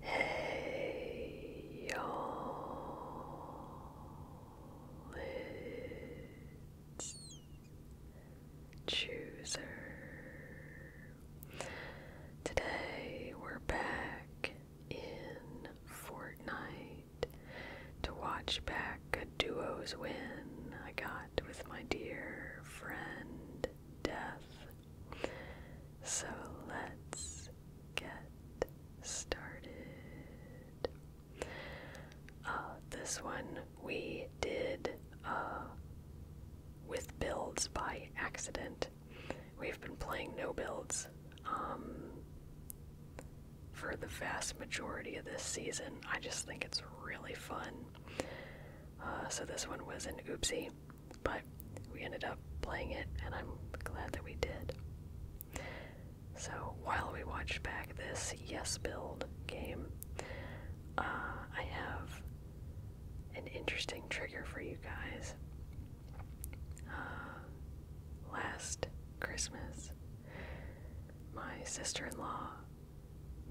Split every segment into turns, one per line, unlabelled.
Hey you Chooser. Today we're back in Fortnite to watch back a duo's win I got with my dear friend Death. So let's get started. Uh, this one we did uh, with builds by accident. We've been playing no builds um, for the vast majority of this season. I just think it's really fun. Uh, so this one was an oopsie. But we ended up playing it, and I'm glad that we did. So while we watch back this yes build game, uh, I have an interesting trigger for you guys. Uh, last Christmas, my sister in law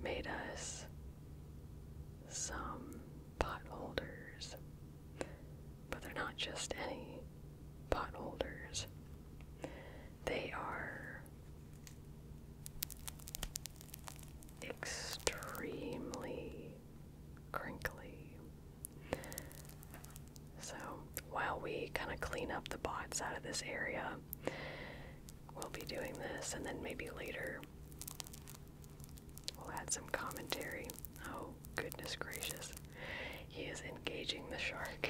made us some pot holders. But they're not just any pot holders. They are extremely crinkly. So while we kind of clean up the bots out of this area, we'll be doing this and then maybe later We'll add some commentary. Oh, goodness gracious. He is engaging the shark.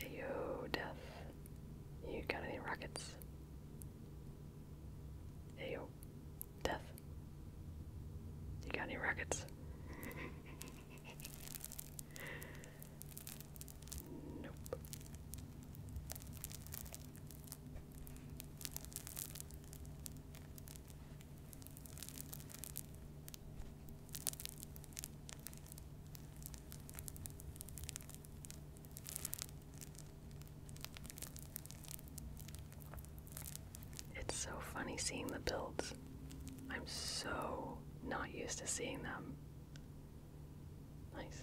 Ayo, Death. You got any rockets? Ayo, Death. You got any rockets? nope. It's so funny seeing the builds. I'm so not used to seeing them. Nice.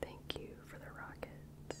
Thank you for the rockets.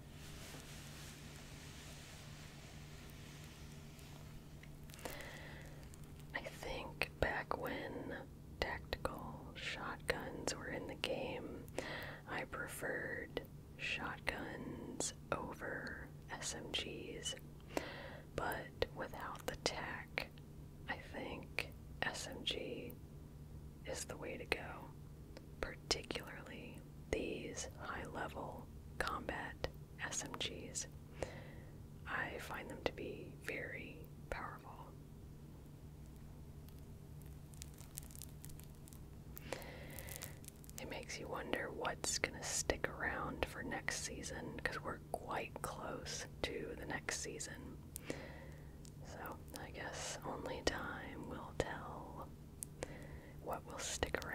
I think back when tactical shotguns were in the game, I preferred shotguns over SMGs. But without the tac, I think SMG is the way to go particularly these high level combat SMGs. I find them to be very powerful. It makes you wonder what's going to stick around for next season because we're quite close to the next season. So I guess only time will tell. What will stick around?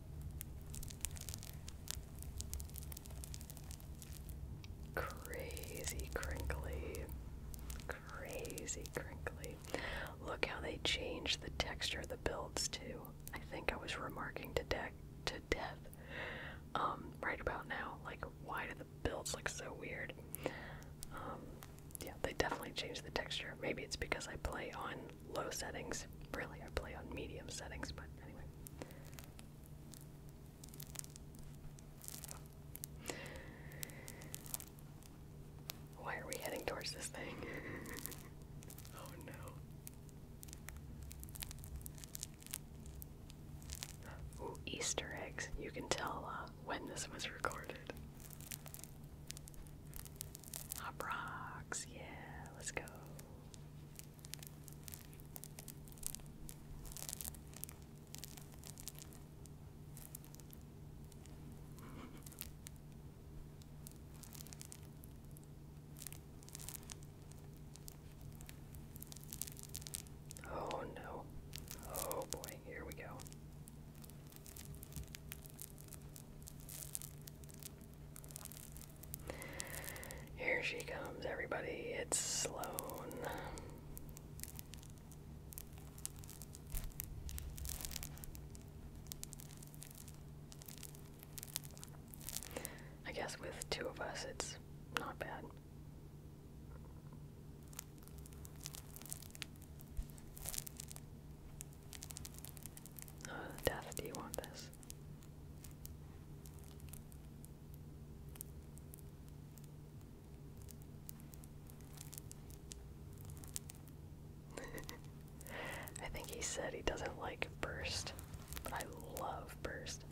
Crazy crinkly. Crazy crinkly. Look how they changed the texture of the builds too. I think I was remarking to deck to death. Um, right about now. Like why do the builds look so weird? Um, yeah, they definitely changed the texture. Maybe it's because I play on low settings. Really, I play on medium settings, but anyway. Why are we heading towards this thing? oh no. Easter eggs. You can tell uh, when this was recorded. Hop rocks, yeah, let's go oh no. Oh boy, here we go. Here she comes, everybody. It's Sloan. I guess with two of us, it's not bad. Uh, Death, do you want this? I think he said he doesn't like Burst, but I love Burst.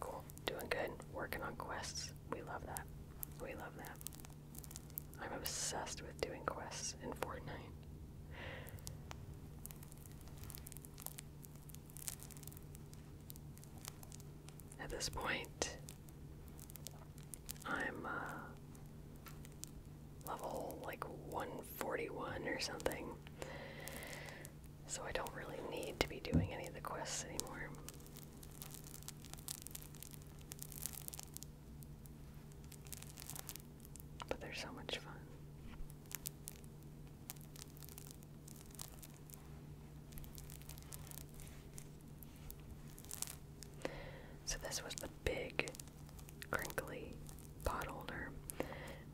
Cool. Doing good. Working on quests. We love that. We love that. I'm obsessed with doing quests in Fortnite. At this point, I'm uh, level like 141 or something, so I don't really need to be doing any of the quests anymore. But they're so much fun. So, this was the big crinkly pot holder.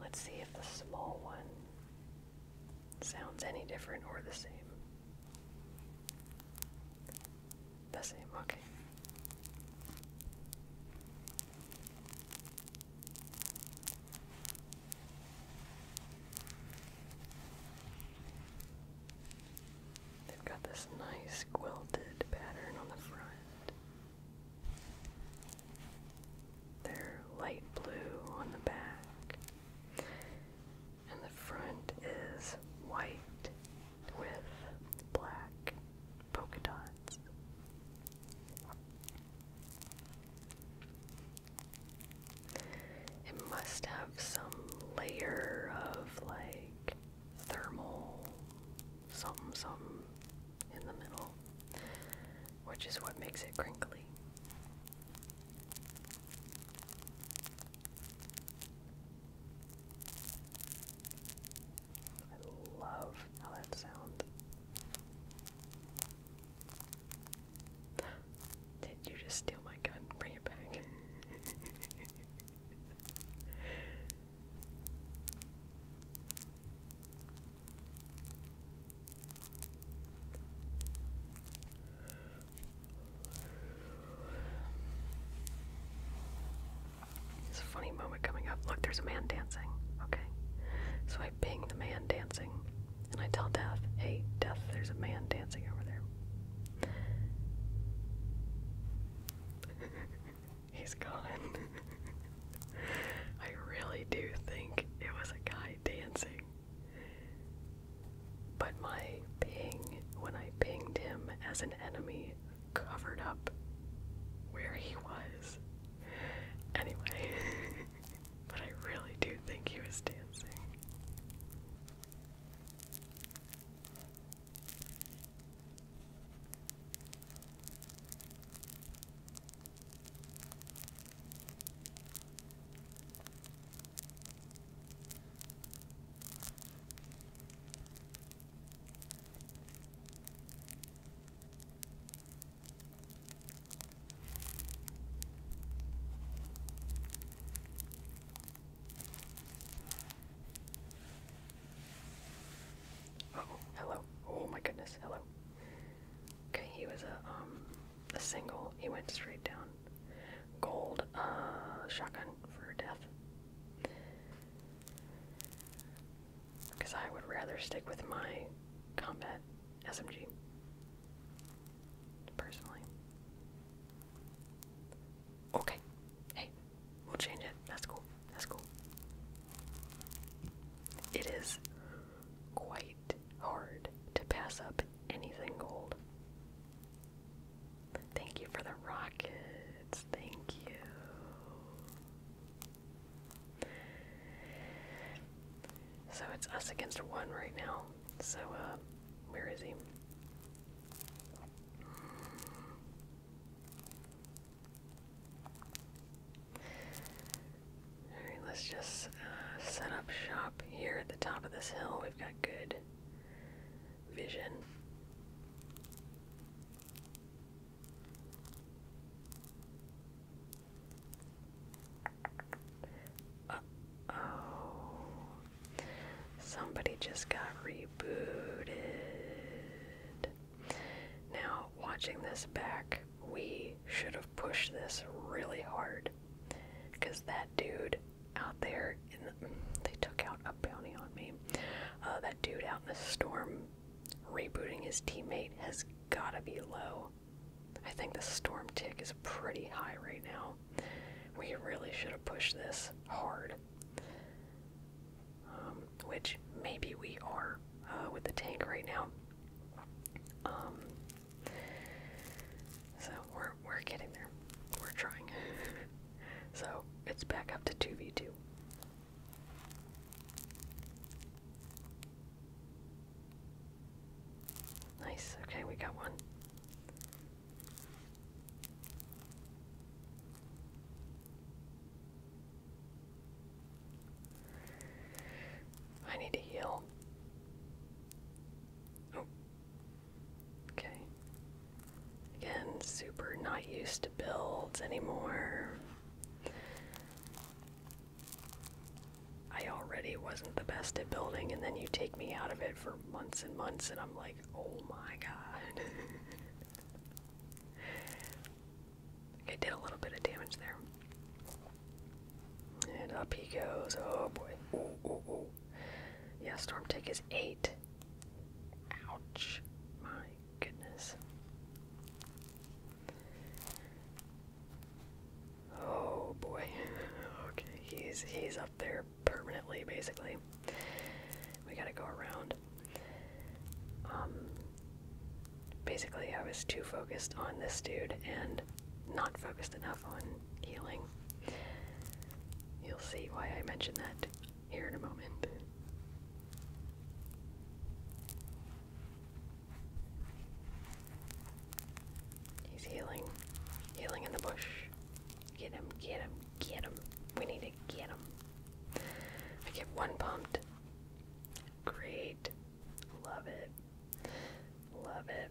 Let's see if the small one sounds any different or the same? The same, okay. They've got this nice quilted pattern on the front. They're light blue on the back and the front is white with black polka dots. It must have some layer of like thermal something something in the middle, which is what makes it crinkly. I love how that sounds. Did you just steal my gun? Bring it back. It's a funny moment coming up. Look, there's a man dancing. Okay. So I ping the man dancing and I tell Death, hey, Death, there's a man dancing over there. He's gone. I really do think it was a guy dancing. But my ping, when I pinged him as an enemy, covered up where he was. Anyway, but I really do think he was dancing oh, hello. Oh my goodness, hello. Okay, he was a um a single. He went straight down gold uh, shotgun for death. Because I would rather stick with my combat SMG. Personally. Okay. Hey, we'll change it. That's cool. That's cool. It is quite hard to pass up anything gold. Thank you for the rockets. Thank you. So it's us against one right now. So, uh, where is he? Alright, let's just uh, set up shop here at the top of this hill. We've got good vision. oh. Somebody just got rebooted. Now, watching this back, we should have pushed this really hard. Because that dude out there and they took out a bounty on me. Uh, that dude out in the storm rebooting his teammate has gotta be low. I think the storm tick is pretty high right now. We really should have pushed this hard. Um, which maybe we are uh, with the tank right now. Um, so we're we're getting there. We're trying. so it's back up to two v two. Nice. Okay, we got one. I need to heal. Oh, Okay. Again, super not used to builds anymore. I already wasn't the best at building, and then you take me out of it for months and months, and I'm like, oh my god. I did a little bit of damage there. And up he goes. Oh boy. Yeah, Storm Tick is eight. Ouch. My goodness. Oh boy. Okay, he's he's up there permanently basically. We gotta go around. Um basically I was too focused on this dude and not focused enough on healing. You'll see why I mention that here in a moment. He's healing. Healing in the bush. Get him, get him, get him. We need to get him. I get one pumped. Great. Love it. Love it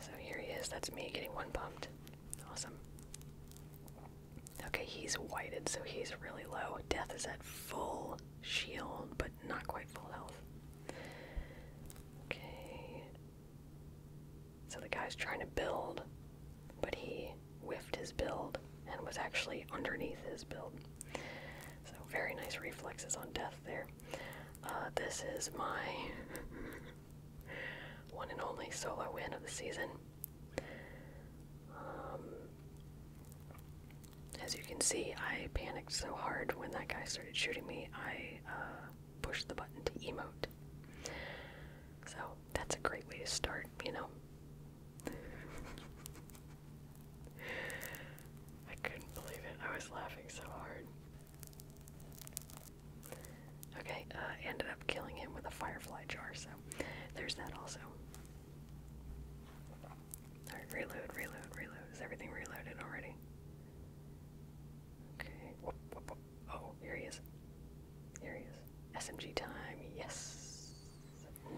So here he is. That's me getting one bumped. Awesome. Okay, he's whited, so he's really low. Death is at full shield, but not quite full health. Okay. So the guy's trying to build, but he whiffed his build and was actually underneath his build. So very nice reflexes on death there. Uh, this is my one and only solar wind of the season. Um, as you can see, I panicked so hard when that guy started shooting me, I uh, pushed the button to emote. So that's a great way to start, you know. I couldn't believe it. I was laughing so hard. Okay, uh, ended up killing him with a firefly jar, so there's that also. Alright, reload, reload, reload. Is everything reloaded already? Okay. Whoop, whoop, whoop. Oh, here he is. Here he is. SMG time, yes.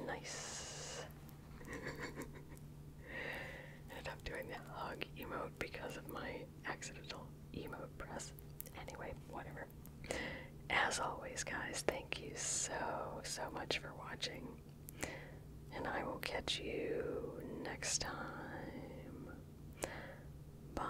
Nice. Ended up doing the hug emote because of my accidental emote press. Anyway, whatever. As always, guys, thank you so, so much for watching. And I will catch you next time. Bye.